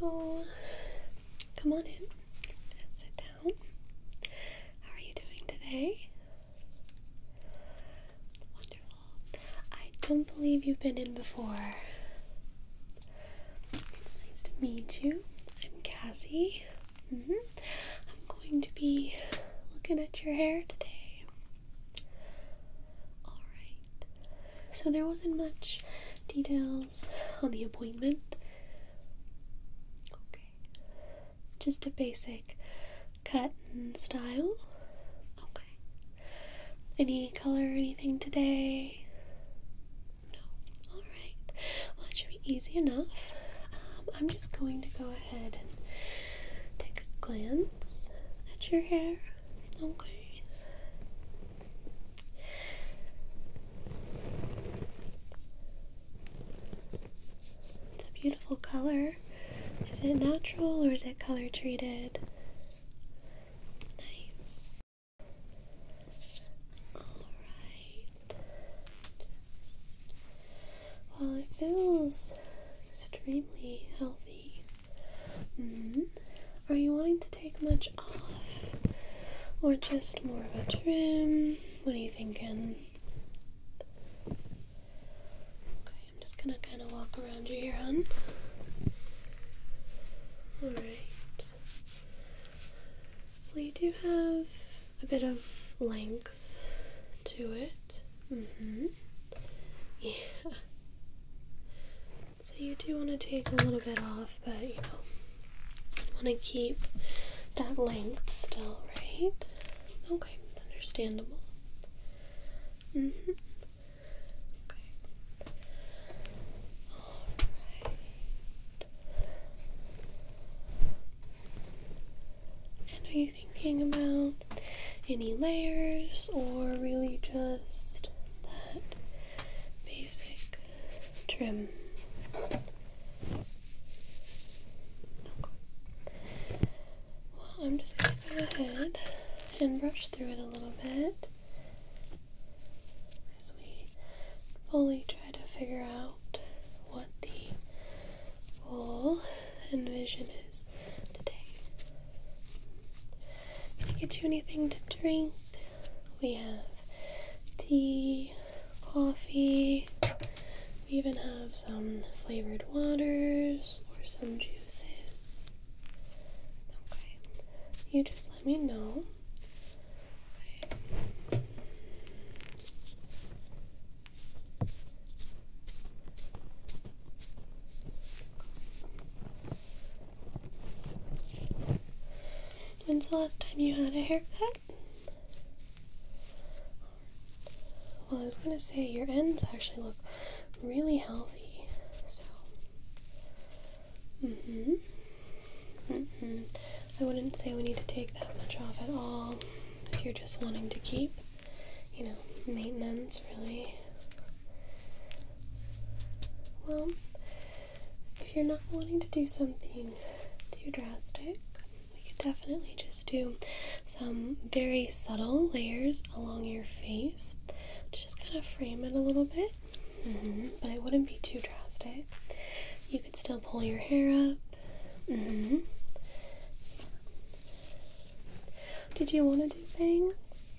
Hello. Come on in. Sit down. How are you doing today? Wonderful. I don't believe you've been in before. It's nice to meet you. I'm Cassie. Mm -hmm. I'm going to be looking at your hair today. Alright. So there wasn't much details on the appointment. Okay. Just a basic cut and style. Okay. Any color or anything today? No. Alright. Well, that should be easy enough. Um, I'm just going to go ahead take a glance at your hair. Okay. It's a beautiful color. Is it natural or is it color treated? Nice. All right. Well, it feels extremely healthy. Mm-hmm. Are you wanting to take much off, or just more of a trim? What are you thinking? Okay, I'm just gonna kind of walk around you here, hun. All right. Well, you do have a bit of length length to it. Mm-hmm. Yeah. So you do want to take a little bit off, but you know, want to keep that length still, right? Okay, understandable. Mm-hmm. Okay. All right. And you thinking about? Any layers or really just that basic trim? Well, I'm just going to go ahead and brush through it a little bit as we fully try to figure out what the goal and vision is today. Can I get you anything to drink, we have tea, coffee, we even have some flavored waters or some juices. Okay, you just let me know. When's the last time you had a haircut? Well, I was gonna say your ends actually look really healthy. So, hmm hmm I wouldn't say we need to take that much off at all if you're just wanting to keep, you know, maintenance really. Well, if you're not wanting to do something too drastic, we could definitely just do some very subtle layers along your face. Just kind of frame it a little bit, mm-hmm. but it wouldn't be too drastic. You could still pull your hair up, Mm-hmm. Did you want to do bangs?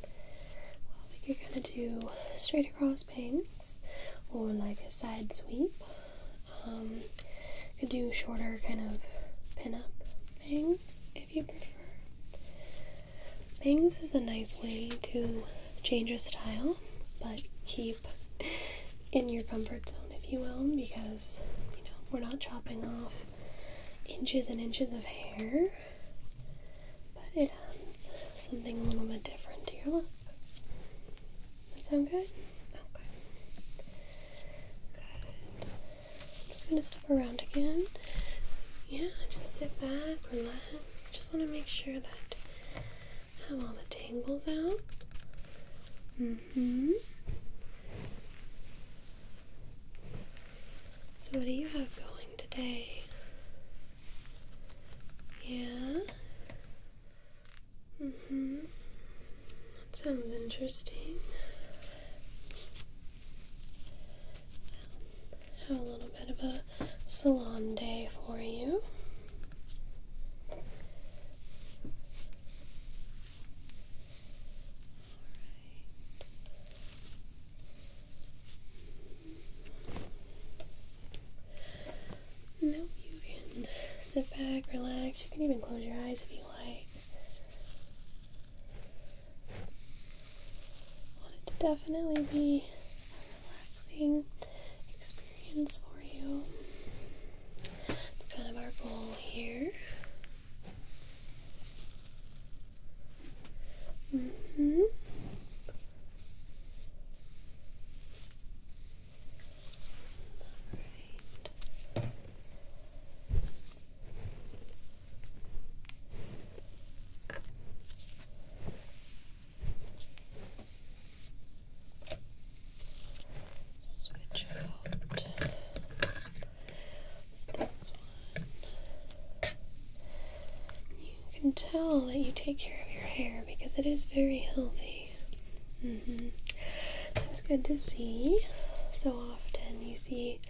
Well, we could kind of do straight across bangs or like a side sweep. could um, do shorter kind of pin up bangs if you prefer. Bangs is a nice way to change your style but keep in your comfort zone, if you will, because you know we're not chopping off inches and inches of hair, but it adds something a little bit different to your look. That sound good? Okay. Good. I'm just gonna step around again. Yeah, just sit back, relax. Just want to make sure that have all the tangles out. hmm So what do you have going today? Yeah. Mm-hmm. That sounds interesting. have a little bit of a salon day for you. Nope, you can sit back, relax. You can even close your eyes if you like. I it to definitely be a relaxing experience for you. It's kind of our goal here. Mm hmm. All right. Switch out. this one. You can tell that you take care of your hair because it is very healthy. Mm That's good to see. So often you see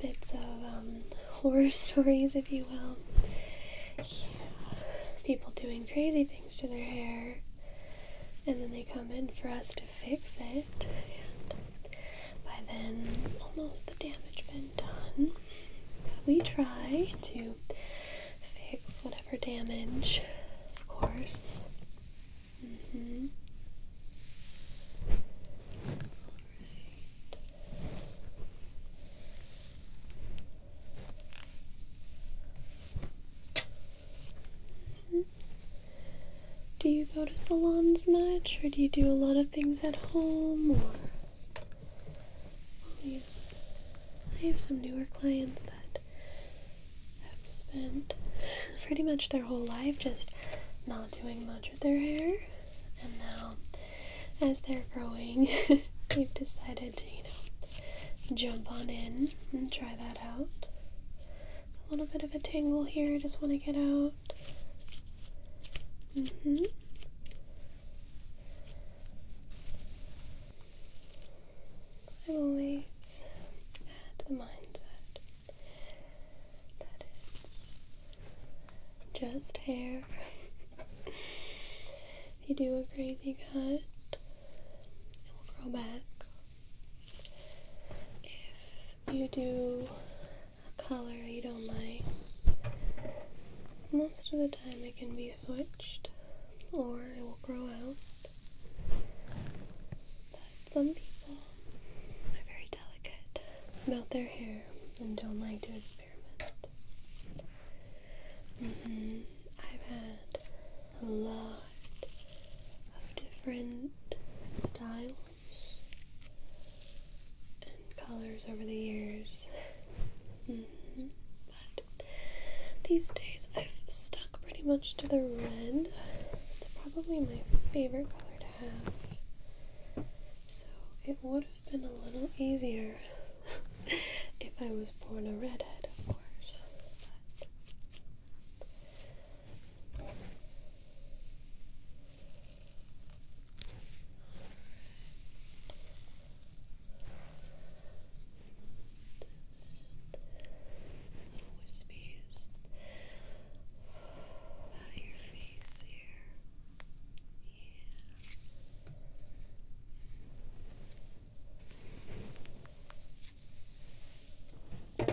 bits of um, horror stories, if you will. People doing crazy things to their hair, and then they come in for us to fix it. And by then, almost the damage been done. we try to fix whatever damage, of course. Mm-hmm. Do you go to salons much, or do you do a lot of things at home? Or I have some newer clients that have spent pretty much their whole life just not doing much with their hair, and now as they're growing, they've decided to, you know, jump on in and try that out. A little bit of a tangle here, I just want to get out. Mm hmm. I will the mindset that it's just hair. If you do a crazy cut, it will grow back. If you do a color you don't like, most of the time it can be switched or it will grow out. But some people are very delicate about their hair and don't like to experiment. Mm-hmm. I've had a lot of different styles and colors over the years. Mm-hmm. But these days I've stuck pretty much to the red. It's probably my favorite color to have. So it would have been a little easier if I was born a redhead, of course. But Alright. Just out of your face here. Yeah. That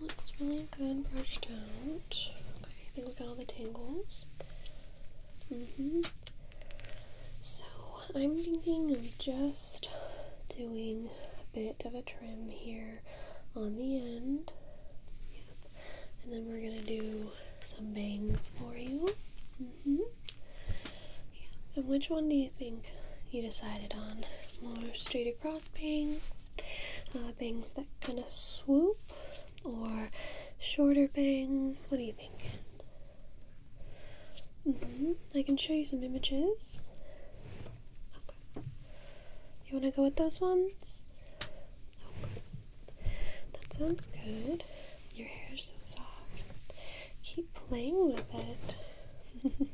looks really good brushed out. Okay, I think we got all the tangles. hmm so I'm thinking of just doing a bit of a trim here on the end. And then we're gonna do some bangs for you. Mm-hmm. And which one do you think you decided on? More straight across bangs, uh, bangs that kind of swoop, or shorter bangs? What are you thinking? Mm-hmm. I can show you some images. You want to go with those ones? That sounds good. Your hair is so soft. Keep playing with it. Alright,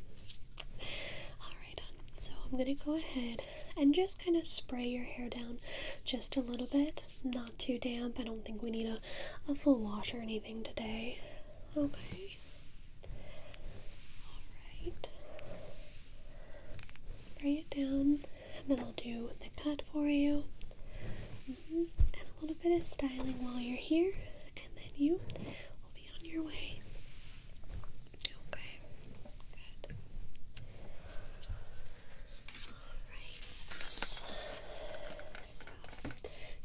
so I'm going to go ahead and just kind of spray your hair down just a little bit. Not too damp. I don't think we need a, a full wash or anything today. Okay. Alright. Spray it down, and then I'll do the cut for you. Mm-hmm. And a little bit of styling while you're here, and then you will be on your way. Okay. Good. Alright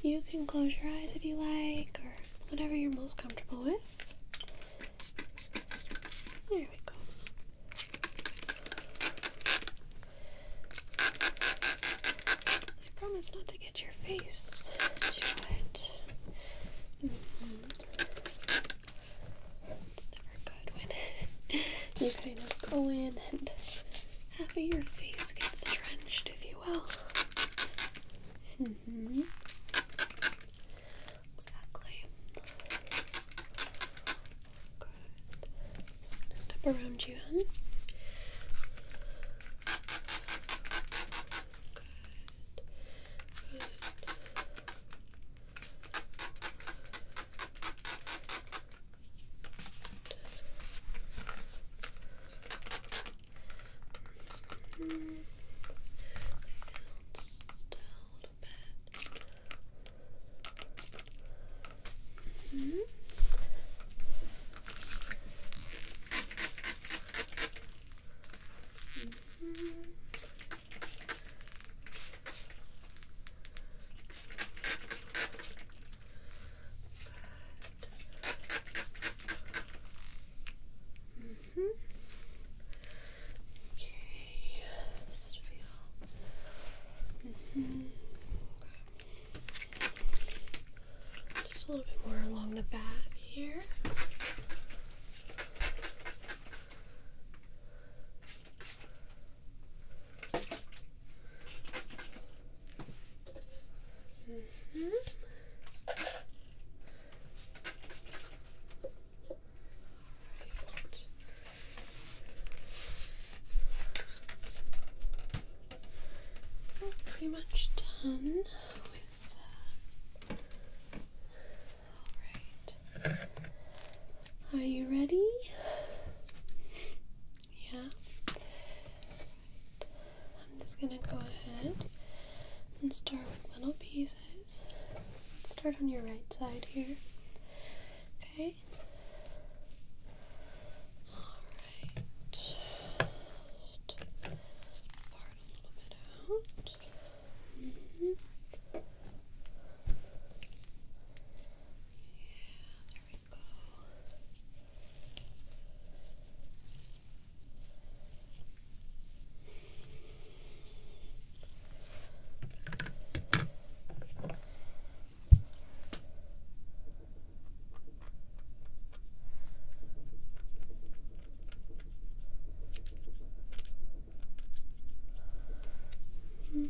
you can close your eyes if you like, or whatever you're most comfortable with. There we go. I promise not to get your face to it. Mm-hmm. It's never good when you kind of go in and half of your face gets drenched, if you will. Mm-hmm. Exactly. Good. step around you, huh? Good. Good. Mm -hmm. Mm -hmm. Okay. -hmm. Okay, just -hmm. Just a little bit more along the back here pretty much done Alright. Are you ready? Yeah. I'm just gonna go ahead and start with little pieces. start on your right side here. Okay. Alright. Just part a little bit out. Mm-hmm. Yeah, Mm. All right.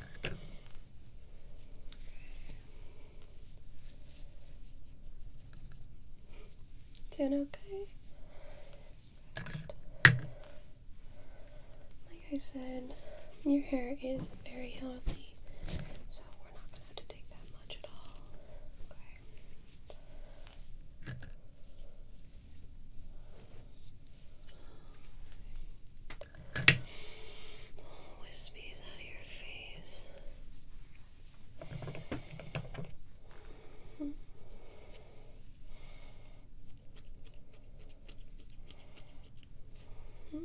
Doing okay? Like I said, your hair is very healthy, so we're not gonna have to take that much at all. Okay. Little wispies out of your face. Hmm. Hmm.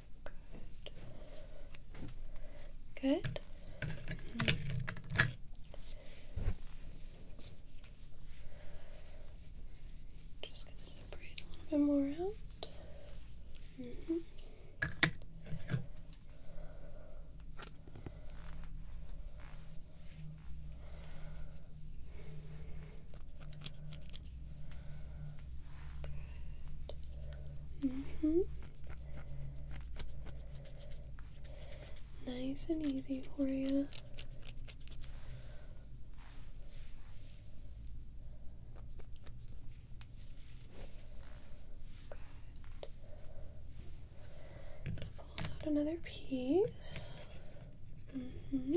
Good. Good. just gonna separate a little bit more out. -hmm hmm Nice and easy for you. Good. Pull out another piece. hmm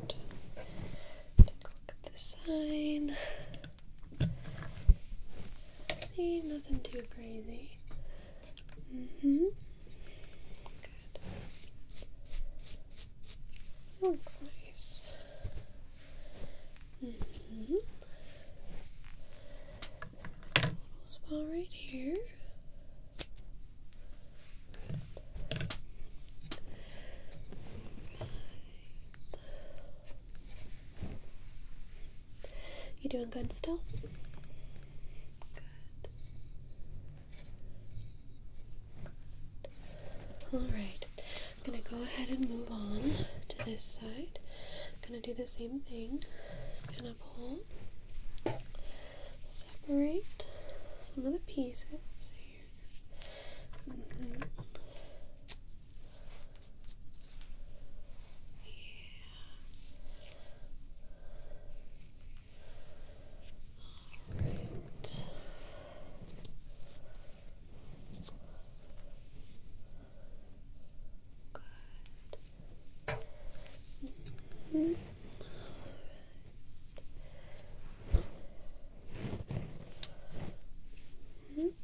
look at this sign. nothing too crazy. hmm Good. Looks nice. hmm spot right here. You doing good still? Good. All right. I'm gonna go ahead and move on to this side. I'm gonna do the same thing pull, separate some of the pieces yeah. Mm-hmm. All right. Good. Mm -hmm. Okay.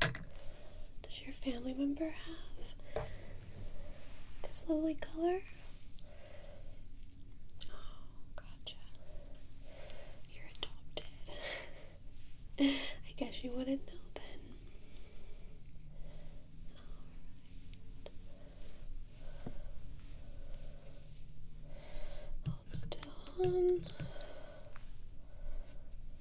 Does your family member have this lovely color? Oh, gotcha. You're adopted. I guess you wouldn't know then. still on.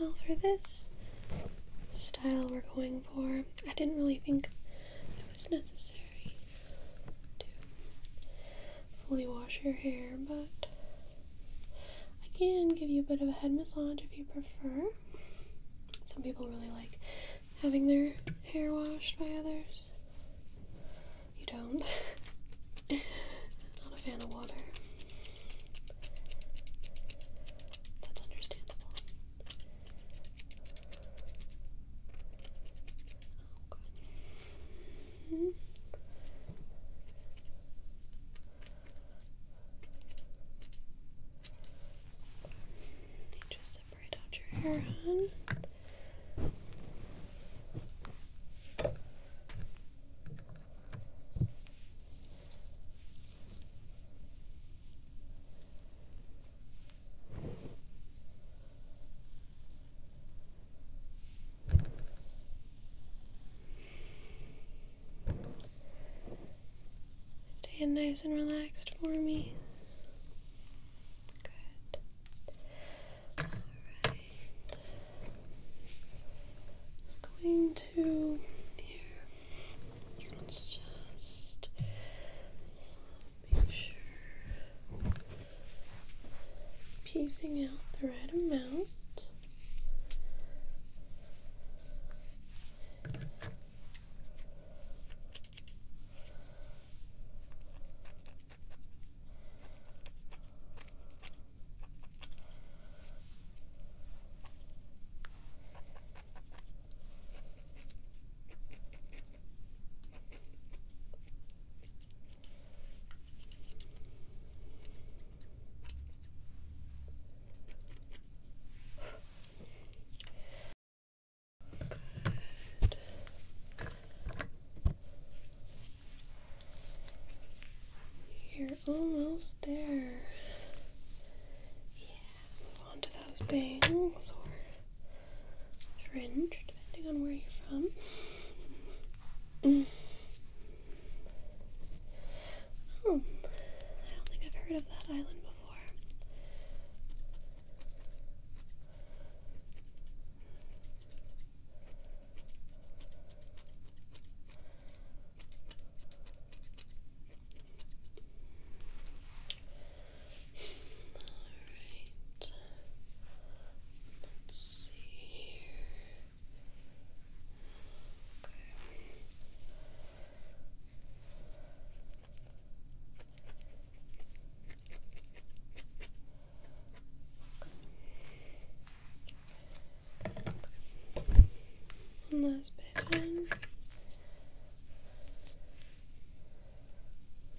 Well, for this style we're going for, I didn't really think it was necessary to fully wash your hair, but I can give you a bit of a head massage if you prefer. Some people really like having their hair washed by others. You don't. Not a fan of water. That's understandable. Oh, good. Mm Just separate out your hair. On. Stay nice and relaxed for me. Good. All right. Just going to here. Let's just make sure piecing out the right amount. You're almost there. Yeah, onto those bangs fringe, depending on where you're from. Mm. oh, I don't think I've heard of that island before. All right. Let's see here. Okay. Last bit in.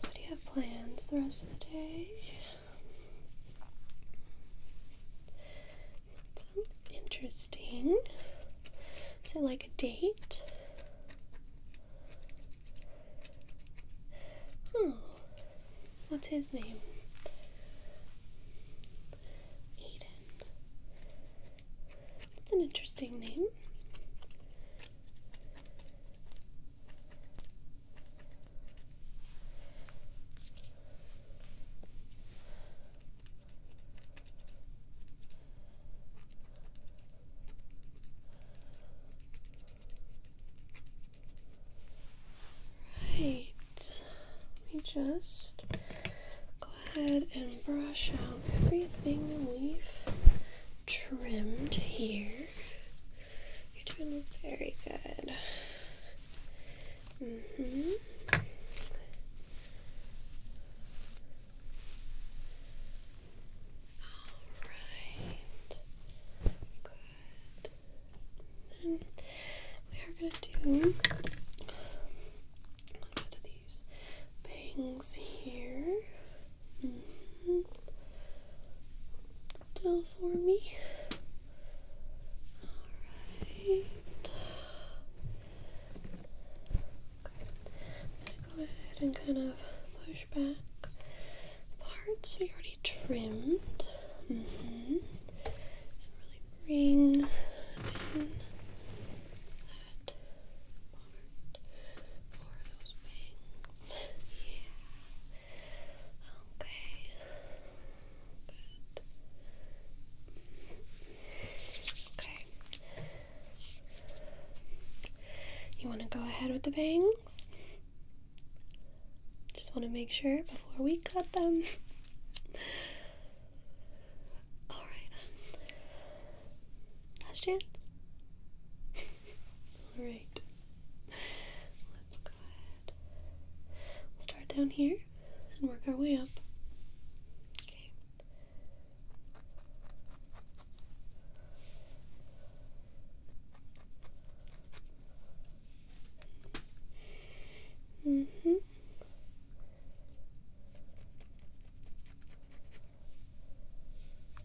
So, do you have plans the rest of the day? sounds interesting. Is it like a date? Oh, what's his name? Aiden. That's an interesting name. Right, let me just go ahead and brush out everything we've trimmed here. You're doing very good. Mm-hmm. right. Good. Then we are going to do a little bit of these bangs here. Still for me. Alright. Okay. I'm gonna go ahead and kind of push back parts we already trimmed. Mm-hmm. And really bring in that part for those bangs. yeah. Okay. Okay. You want to go ahead with the bangs? Just want to make sure before we cut them. Alright. Last chance. Alright. Let's go ahead. We'll start down here and work our way up. Okay. Mm-hmm.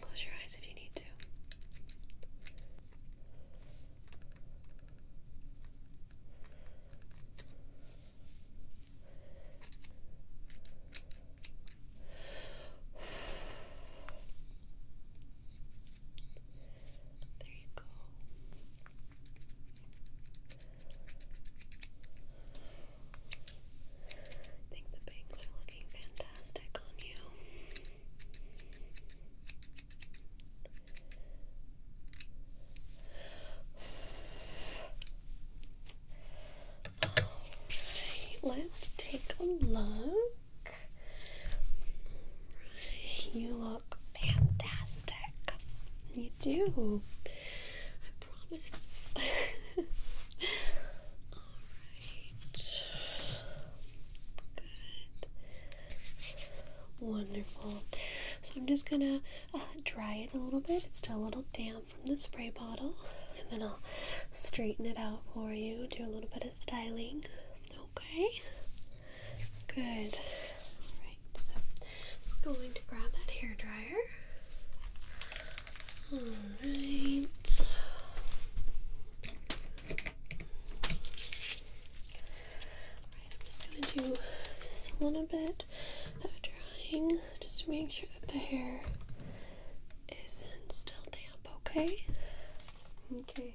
close your eyes if you need to. There you go. I think the bangs are looking fantastic on you. let's take a look. you look fantastic. You do promise. Alright. Good. Wonderful. So I'm just gonna uh, dry it a little bit. It's still a little damp from the spray bottle. And then I'll straighten it out for you, do a little bit of styling. Okay? Good. Alright, so I'm just going to grab that hair dryer. Alright. Alright, I'm just gonna do just a little bit of drying just to make sure that the hair is still damp, Okay. Okay.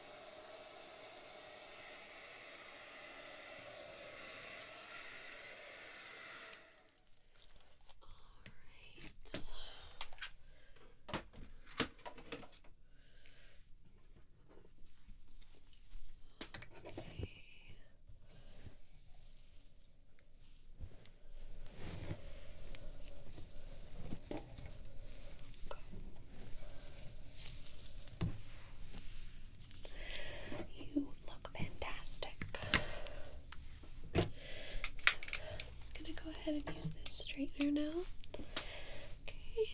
Alright. Okay. Okay. You look fantastic. I'm just gonna go ahead and use this straightener now. Okay.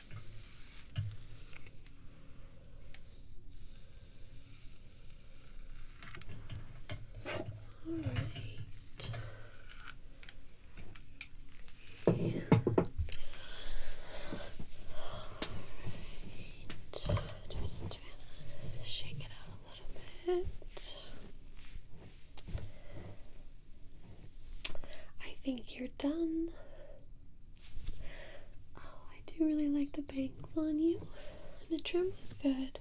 All right. All right. Just shake it out a little bit. I think you're done. Oh, I do really like the bangs on you. The trim is good.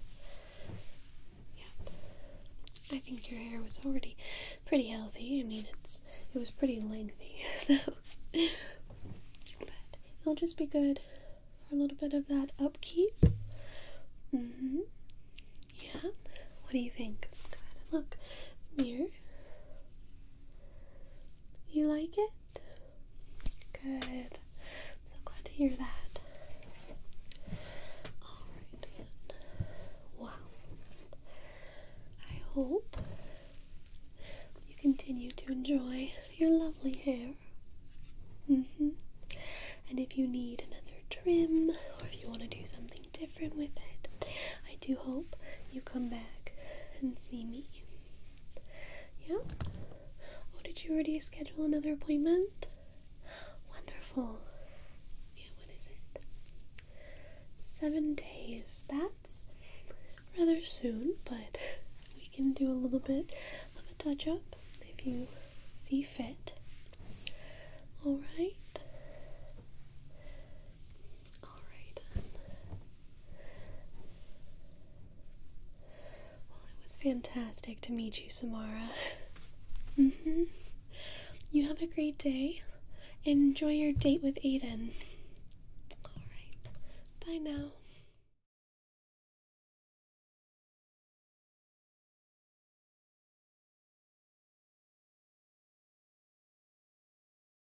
Yeah. I think your hair was already pretty healthy. I mean, it's it was pretty lengthy, so but it'll just be good for a little bit of that upkeep. Mm-hmm. Yeah. What do you think? look. mirror. You like it? Good. I'm so glad to hear that. Alright, Wow. I hope you continue to enjoy your lovely hair. Mm hmm. And if you need another trim or if you want to do something different with it, I do hope you come back and see me. Yeah? Oh, did you already schedule another appointment? Wonderful. Yeah, what is it? Seven days. That's rather soon, but we can do a little bit of a touch up if you see fit. Alright. Alright Well, it was fantastic to meet you, Samara. Mm hmm. You have a great day. Enjoy your date with Aiden. Alright. Bye now.